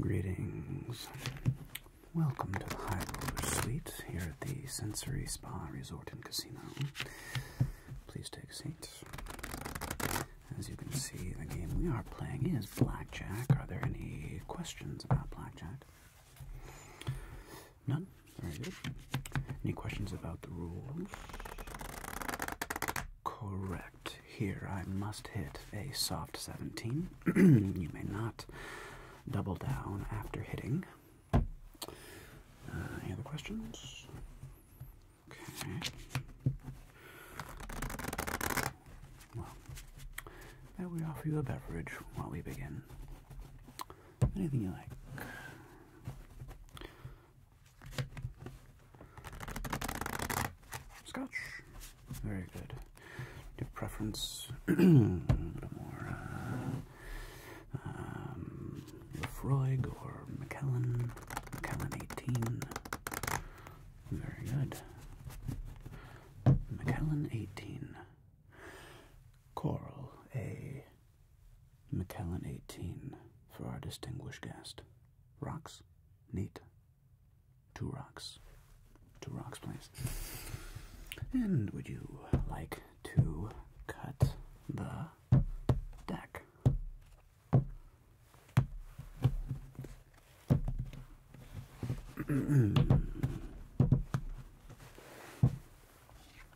Greetings. Welcome to the High Roller Suite here at the Sensory Spa Resort and Casino. Please take a seat. As you can see, the game we are playing is Blackjack. Are there any questions about Blackjack? None? Any questions about the rules? Correct. Here I must hit a soft 17. you may not double down after hitting. Uh, any other questions? Okay. Well, may we offer you a beverage while we begin? anything you like. Scotch, very good. Your preference a little more uh, um, or Macallan, Macallan 18. Very good. Macallan 18. Coral, a Macallan 18 for our distinguished guest. Rocks? Neat. Two rocks. Two rocks, please. And would you like to cut the deck?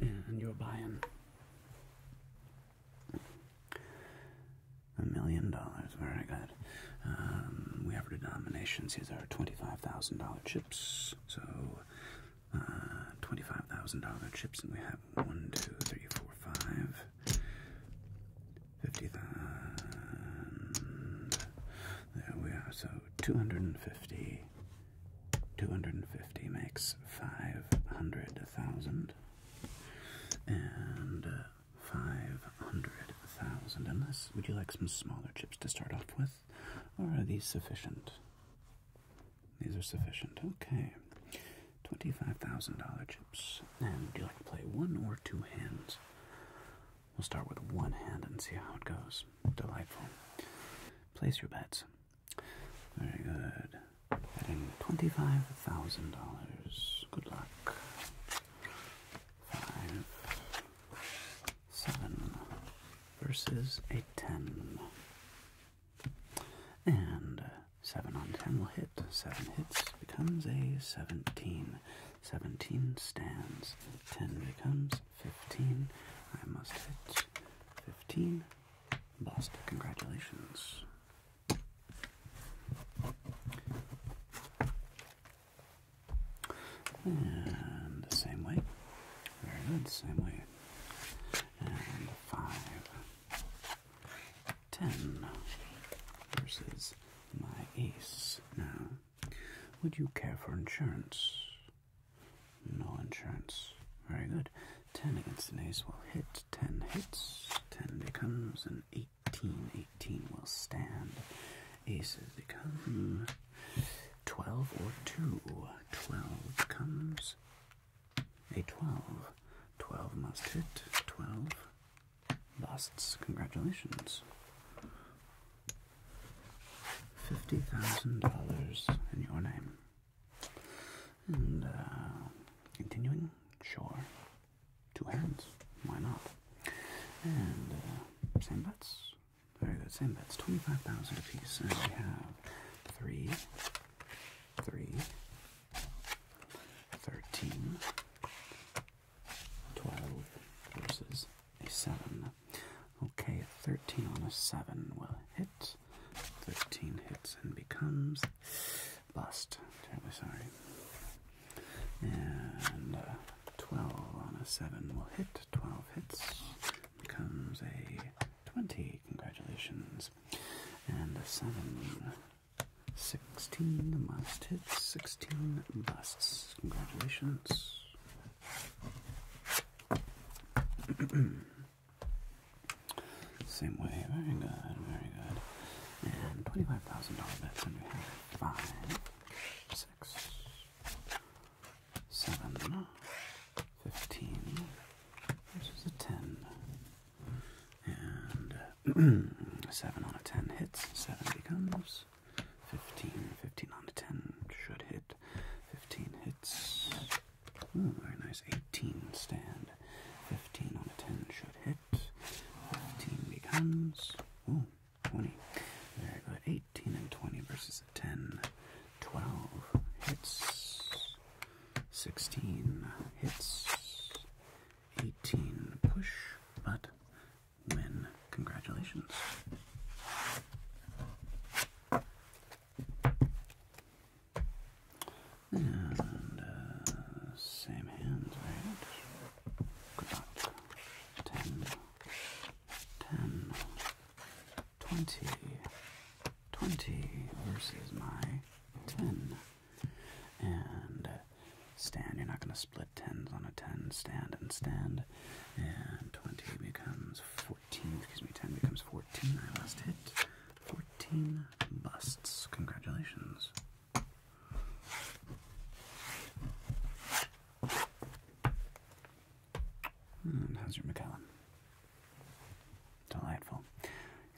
And you're buying a million dollars. Very good. Um, we have our denominations. These are $25,000 chips. So uh, $25,000 chips, and we have one, two, three, four, five fifty thousand. There we are. So two hundred and fifty. Two hundred and fifty makes five hundred thousand. And uh, five hundred thousand. Unless, would you like some smaller chips to start off with, or are these sufficient? These are sufficient. Okay. $25,000 chips. And would you like to play one or two hands? We'll start with one hand and see how it goes. Delightful. Place your bets. Very good. Betting twenty-five thousand dollars. Good luck. Five, seven versus a ten, and seven on ten will hit. Seven hits becomes a seventeen. Seventeen stands. Ten becomes fifteen. I must hit fifteen. Bust. Congratulations. And the same way. Very good, same way. And five. Ten versus my ace. Now would you care for insurance? No insurance. Very good. 10 against an ace will hit. 10 hits. 10 becomes an 18. 18 will stand. Aces become 12 or 2. 12 comes. a 12. 12 must hit. 12 busts. Congratulations. $50,000 in your name. And uh, continuing, sure. Two hands. Why not? And uh, same bets. Very good. Same bets. 25,000 apiece. And we have three, three, thirteen, 12 versus a 7. Okay, 13 on a 7 will hit. 13 hits and becomes bust. Terribly sorry. And uh, 12 on a 7 will hit. 12 hits becomes a 20. Congratulations. And a 7 16 must hits, 16 busts. Congratulations. Same way. Very good, very good. And $25,000 bets, and we have 15, which is a 10. And uh, seven on a ten hits. Seven becomes fifteen. Fifteen on a ten should hit. Fifteen hits. very nice. Eighteen stand. Fifteen on a ten should hit. Fifteen becomes ooh, twenty. Very good. Eighteen and twenty versus a ten. Twelve hits. Sixteen hits. Eighteen push, but men. Congratulations. And uh, same hands, right? Good luck. 10, versus my 10 and uh, stand. You're not going to split tens on a ten. Stand and stand, and twenty becomes fourteen. Excuse me, ten becomes fourteen. I lost it. fourteen busts. Congratulations. how's your McAllen? Delightful.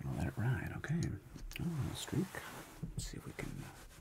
Gonna let it ride, okay. Oh, streak. Let's see if we can uh,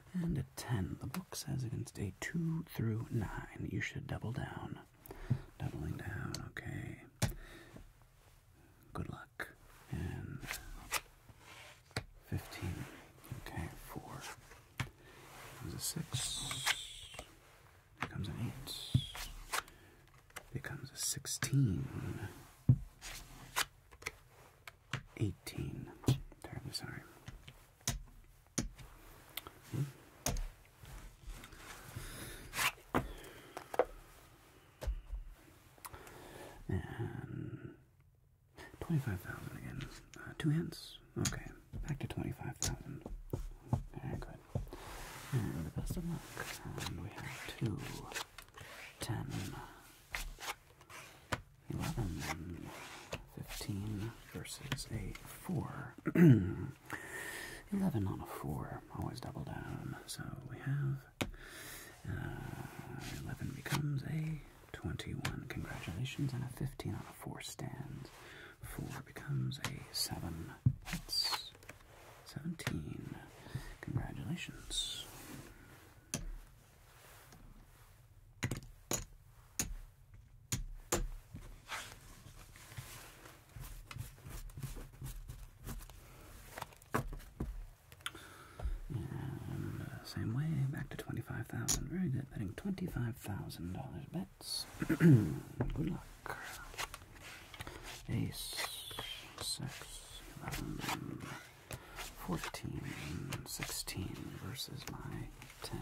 and a 10. The book says against a 2 through 9. You should double down. Doubling down, okay. Good luck. And 15. Okay, 4. Comes a 6. Becomes an 8. Becomes a 16. 18. Terribly sorry. Hmm. And 25,000 again. Uh, two hints? Okay. Back to 25,000. Very good. And the best of luck. And we have two, ten, 11, 15 versus a 4. 11 on a 4, always double down. So we have uh, 11 becomes a 21. Congratulations, and a 15 on a 4 stands. 4 becomes a 7. 17. Congratulations. Uh, same way, back to 25,000. Very good, betting $25,000 bets. good luck. Ace, six. Um, 14 16 versus my 10.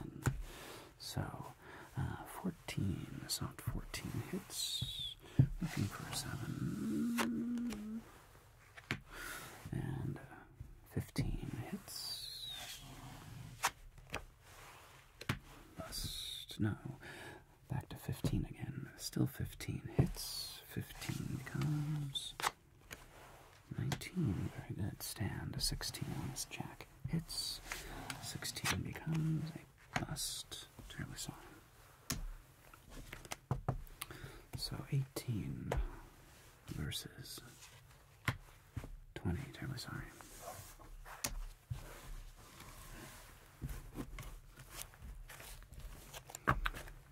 So, 14, So 14 hits. Looking for a 7. And 15 hits. Bust. No. Back to 15 again. Still 15 hits. 15 comes. 19, very good. Stand, 16 on this jack. Hits. 16 becomes a bust. Terribly sorry. So 18 versus 20. Terribly sorry.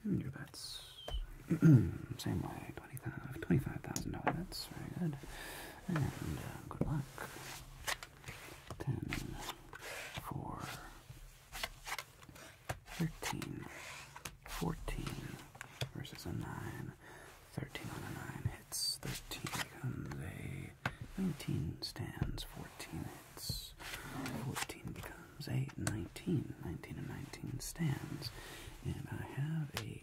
Hmm, your bets. Same way, $25,000 $25, bets. Very good. And uh, good luck. 10, 13, 14 versus a 9. 13 on a 9 hits. 13 becomes a 19 stands. 14 hits. 14 becomes a 19. 19 and 19 stands. And I have a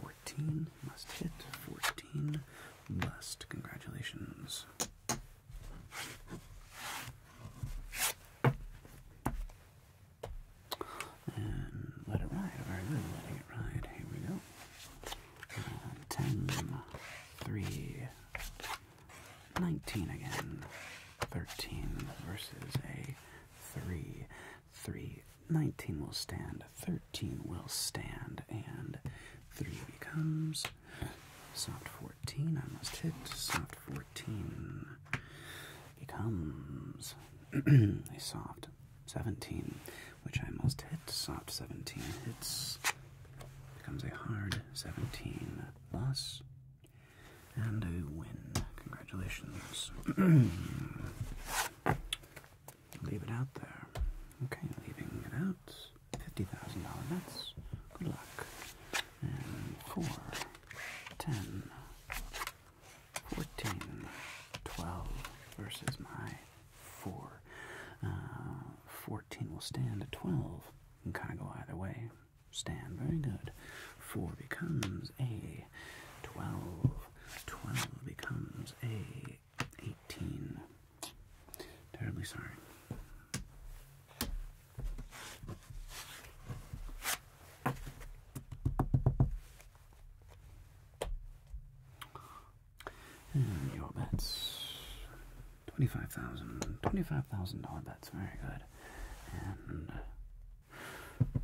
14 must hit, 14 must. Congratulations. And let it ride. Very good. Letting it ride. Here we go. Uh, 10, 19 again. 13 versus a three, three. 19 will stand, 13 will stand, and 3 becomes soft 14. I must hit soft 14. Becomes a soft 17, which I must hit soft 17. Hits, becomes a hard 17. Thus, and a win. Congratulations. Leave it out there. Okay, leaving it out. $50,000 Good luck. And 4, 14, 12 versus my 4. Uh, 14 will stand at 12. Can kind of go either way stand. Very good. 4 becomes a 12. 12 becomes a 18. Terribly sorry. And your bets. 25000 $25,000 bets. Very good.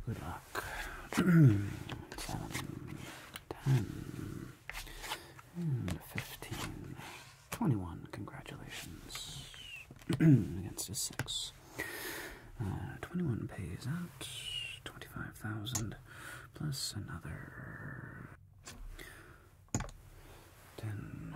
Good luck. Seven, ten, and fifteen, twenty-one. Congratulations. Against a six. Uh, twenty-one pays out. Twenty-five thousand plus another ten.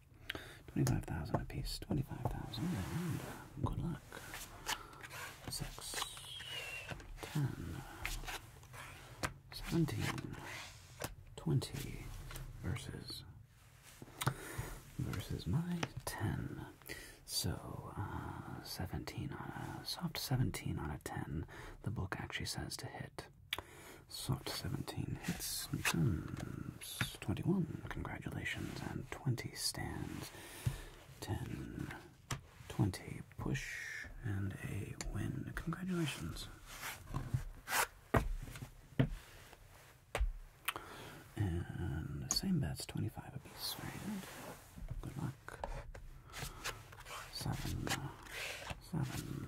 Twenty-five thousand apiece. Twenty-five thousand. Uh, good luck. Six. Seventeen. Twenty. Versus. Versus my ten. So, uh, 17 on a soft 17 on a 10. The book actually says to hit Soft 17 hits becomes 21. Congratulations. And 20 stands. 10, 20 push, and a win. Congratulations. And the same bets, 25 apiece. good. Good luck. Seven, seven,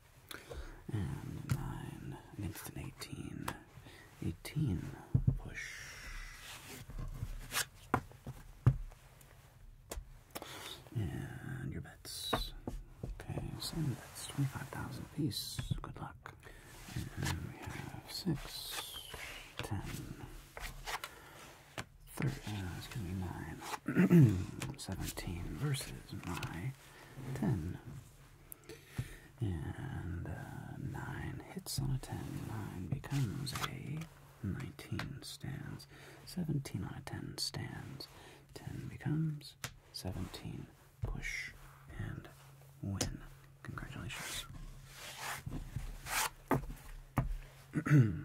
And nine against an 18. push. And your bets. Okay, same bets. 25,000 piece. Good luck. And we have 6, 10, thir uh, excuse me, 9, 17 versus my 10. And uh, 9 hits on a 10. 9 becomes a 19 stands. 17 on a 10 stands. 10 becomes 17. Push and win. Congratulations.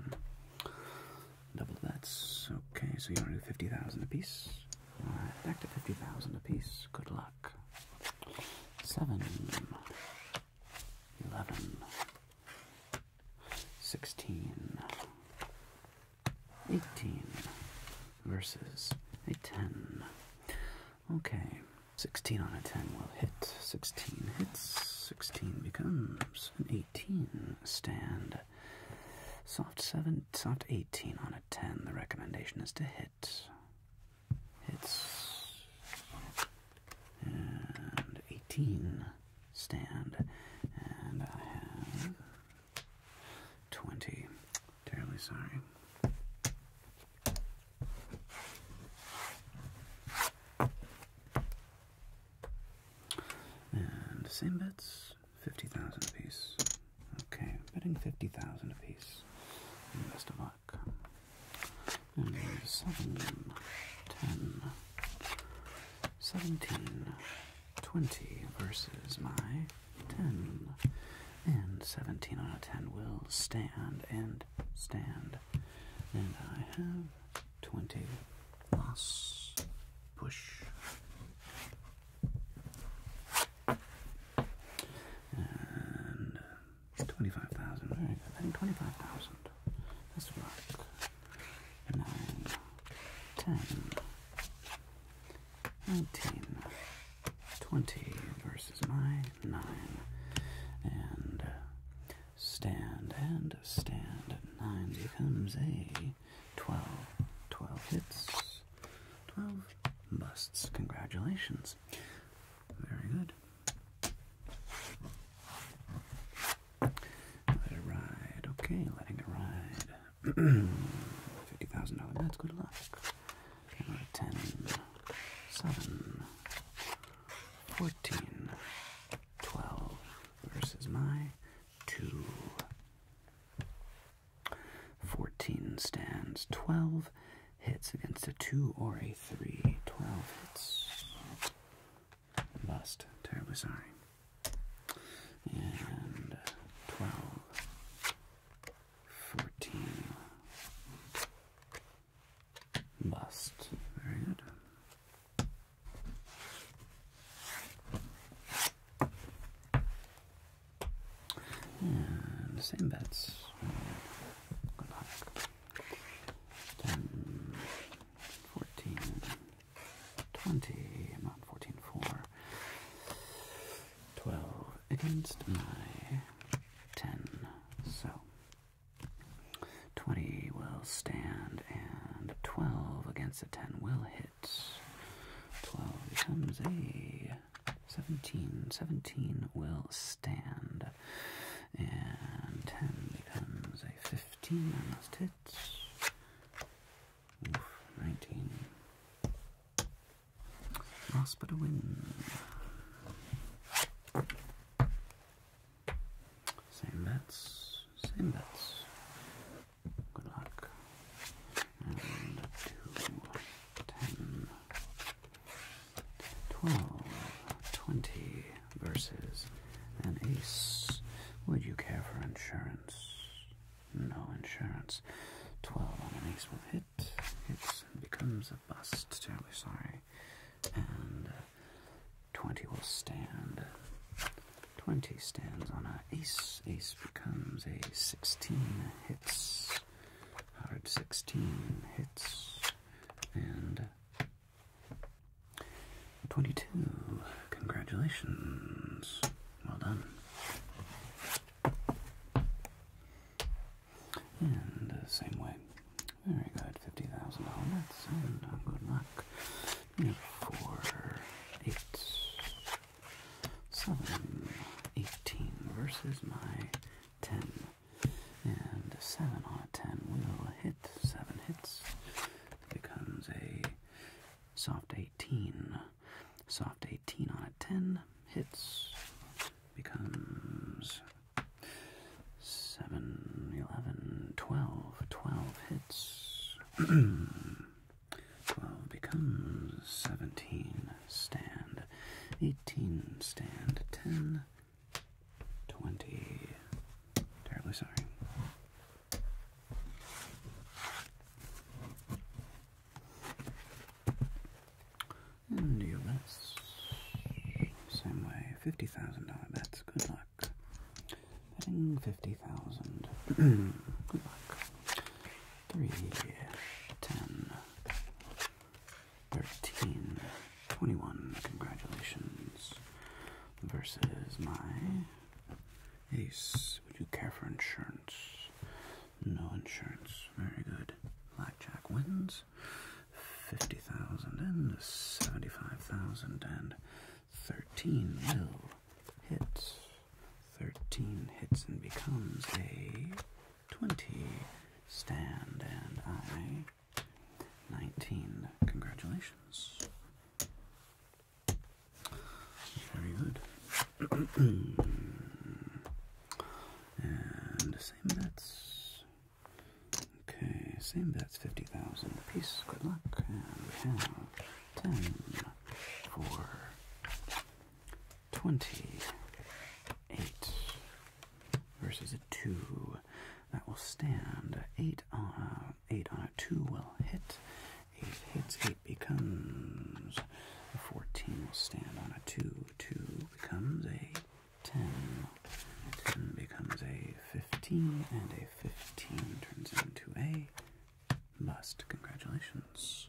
Double that's okay, so you want to do 50,000 apiece. Alright, back to 50,000 apiece. Good luck. 7, 11, 16, 18 versus a 10. Okay, 16 on a 10 will hit. 16 hits. 16 becomes an 18 stand. Soft 7, soft 18 on it. 10, the recommendation is to hit. Hits. And 18 stand. And I have 20. Terribly sorry. And same bets. 50,000 apiece. Okay, betting 50,000 apiece. And best of luck. And 10, 17, 20 versus my 10. And 17 out of 10 will stand and stand. And I have 20 plus push. And uh, twenty-five thousand. Very good. I twenty-five thousand. Let's work. Nine, ten, nineteen, twenty versus my nine, and uh, stand and stand. Nine becomes a me 12, hits, 12 busts. Congratulations. Very good. Let it ride. Okay, letting it ride. $50,000 bets. Good luck. Camera 10, 7, 14, 12 versus my 2. 14 stands 12 hits against a 2 or a 3. 12 hits. Bust. Terribly sorry. And 12. 14. Bust. Very good. And the same bets. Good luck. 10, 14, 20, 14, 4, 12 against my 10. So 20 will stand, and 12 against a 10 will hit hits. 12 becomes a 17. 17 will stand. And 10 becomes a 15 on last hits. 19. Lost but a win. Same bets, same bets. Good luck. And two, ten, twelve, twenty versus an ace. Would you care for insurance? No insurance. Twelve on an ace will hit. Hits becomes a bust. Terribly sorry. And uh, twenty will stand. Twenty stands on an ace. Ace becomes a sixteen hits. Hard sixteen hits. And twenty-two. Congratulations. Well done. And uh, same way. Very good. Fifty thousand dollars. Uh, good luck. Four, 7, 18 versus my 10. And 7 on a 10 will hit. 7 hits. becomes a soft 18. Soft 18 on a 10 hits. Becomes 7, 11, 12 hits. 12 becomes 17, stand, 18, stand, 10, 20. Terribly sorry. And your bets. Same way, $50,000 bets. Good luck. Betting 50,000. Good luck. 3, 13, 21. Congratulations. Versus my ace. Would you care for insurance? No insurance. Very good. Blackjack wins. 50,000 and 75,000 and 13 will hit. 13 hits and becomes a 20 stand and I 19. Congratulations. Very good. and same bets. Okay, same bets 50,000 apiece. Good luck. And 10 for twenty-eight versus a two. That will stand eight on a eight on a two will hit. Eight hits, eight becomes a fourteen will stand on a two. Two becomes a ten. Ten becomes a fifteen, and a fifteen turns into a must. Congratulations.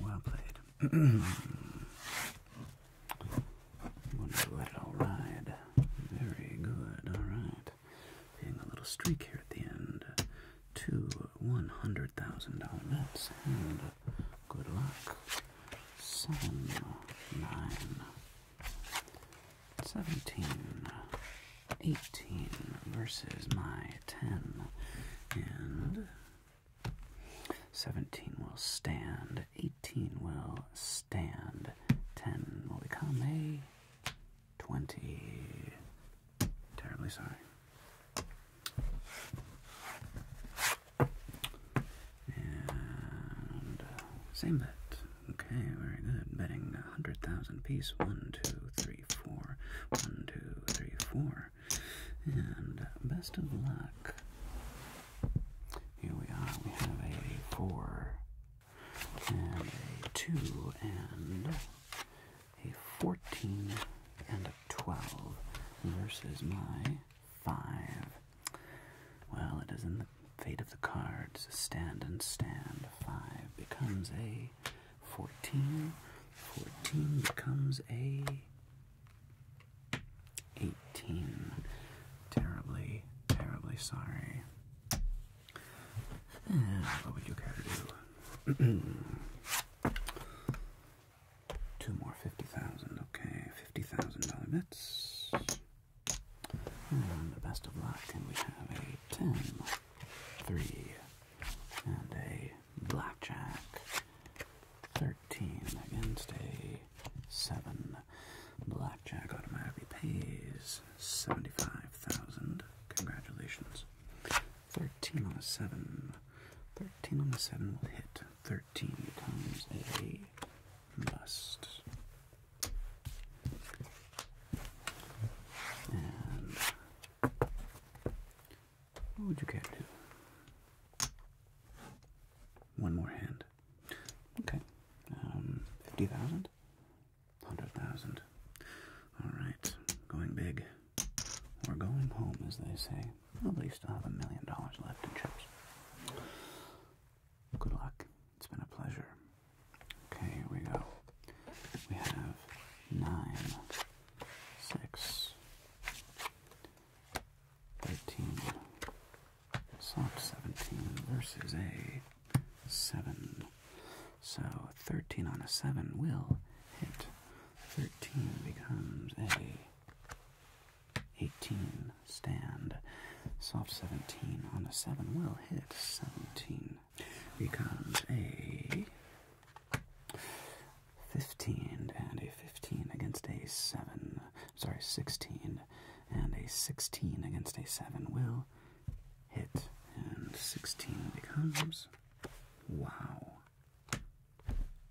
Well played. let it all ride. Very good. All right. Being a little streak here at the end. to one hundred thousand dollar and good luck. Seven nine 17, 18 versus my 10, and 17 will stand, 18 will stand, 10 will become a 20. Terribly sorry. And same bet. Okay, very good. Betting a hundred thousand piece. One, two, three, four. One, two, three, four. And best of luck. Here we are. We have a four and a two and a fourteen and a twelve versus my five. Well, it is in the fate of the cards. Stand and stand. 5 becomes a 14. 14 becomes a 18. Terribly, terribly sorry. what would you care to do? Two more 50,000, okay. $50,000 bets. And the best of luck, and we have a 10, and a blackjack, 13 against a 7. Blackjack automatically pays 75,000. Congratulations. 13 on a 7. 13 on a 7 will hit. 13 times a must what would you care to One more hand. Okay. 50,000? Um, 100,000. Alright. Going big. We're going home, as they say. Probably still have a million dollars left in chips. Good luck. It's been a pleasure. Okay, here we go. We have nine, six, 13, 17 versus a 7. So 13 on a 7 will hit. 13 becomes a 18 stand. Soft 17 on a 7 will hit. 17 becomes a 15 and a 15 against a 7. Sorry, 16 and a 16 against a 7 will hit. And 16 becomes. Wow.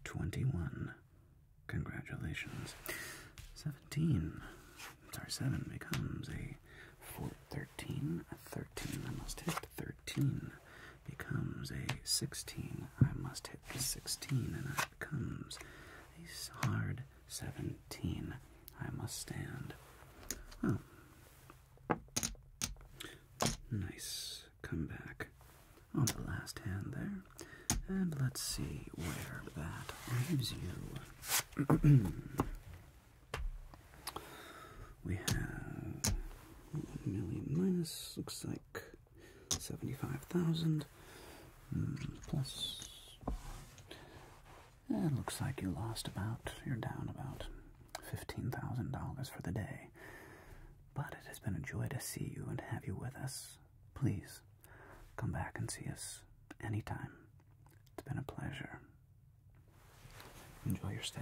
21. Congratulations. 17. Tar7 becomes a 4, 13, 13, I must hit 13, becomes a 16, I must hit the 16, and it becomes a hard 17, I must stand. Oh. Nice comeback on the last hand there. And let's see where that leaves you we have one million minus, looks like 75,000 mm, plus. It looks like you lost about, you're down about $15,000 for the day. But it has been a joy to see you and have you with us please come back and see us anytime. It's been a pleasure. Enjoy your stay.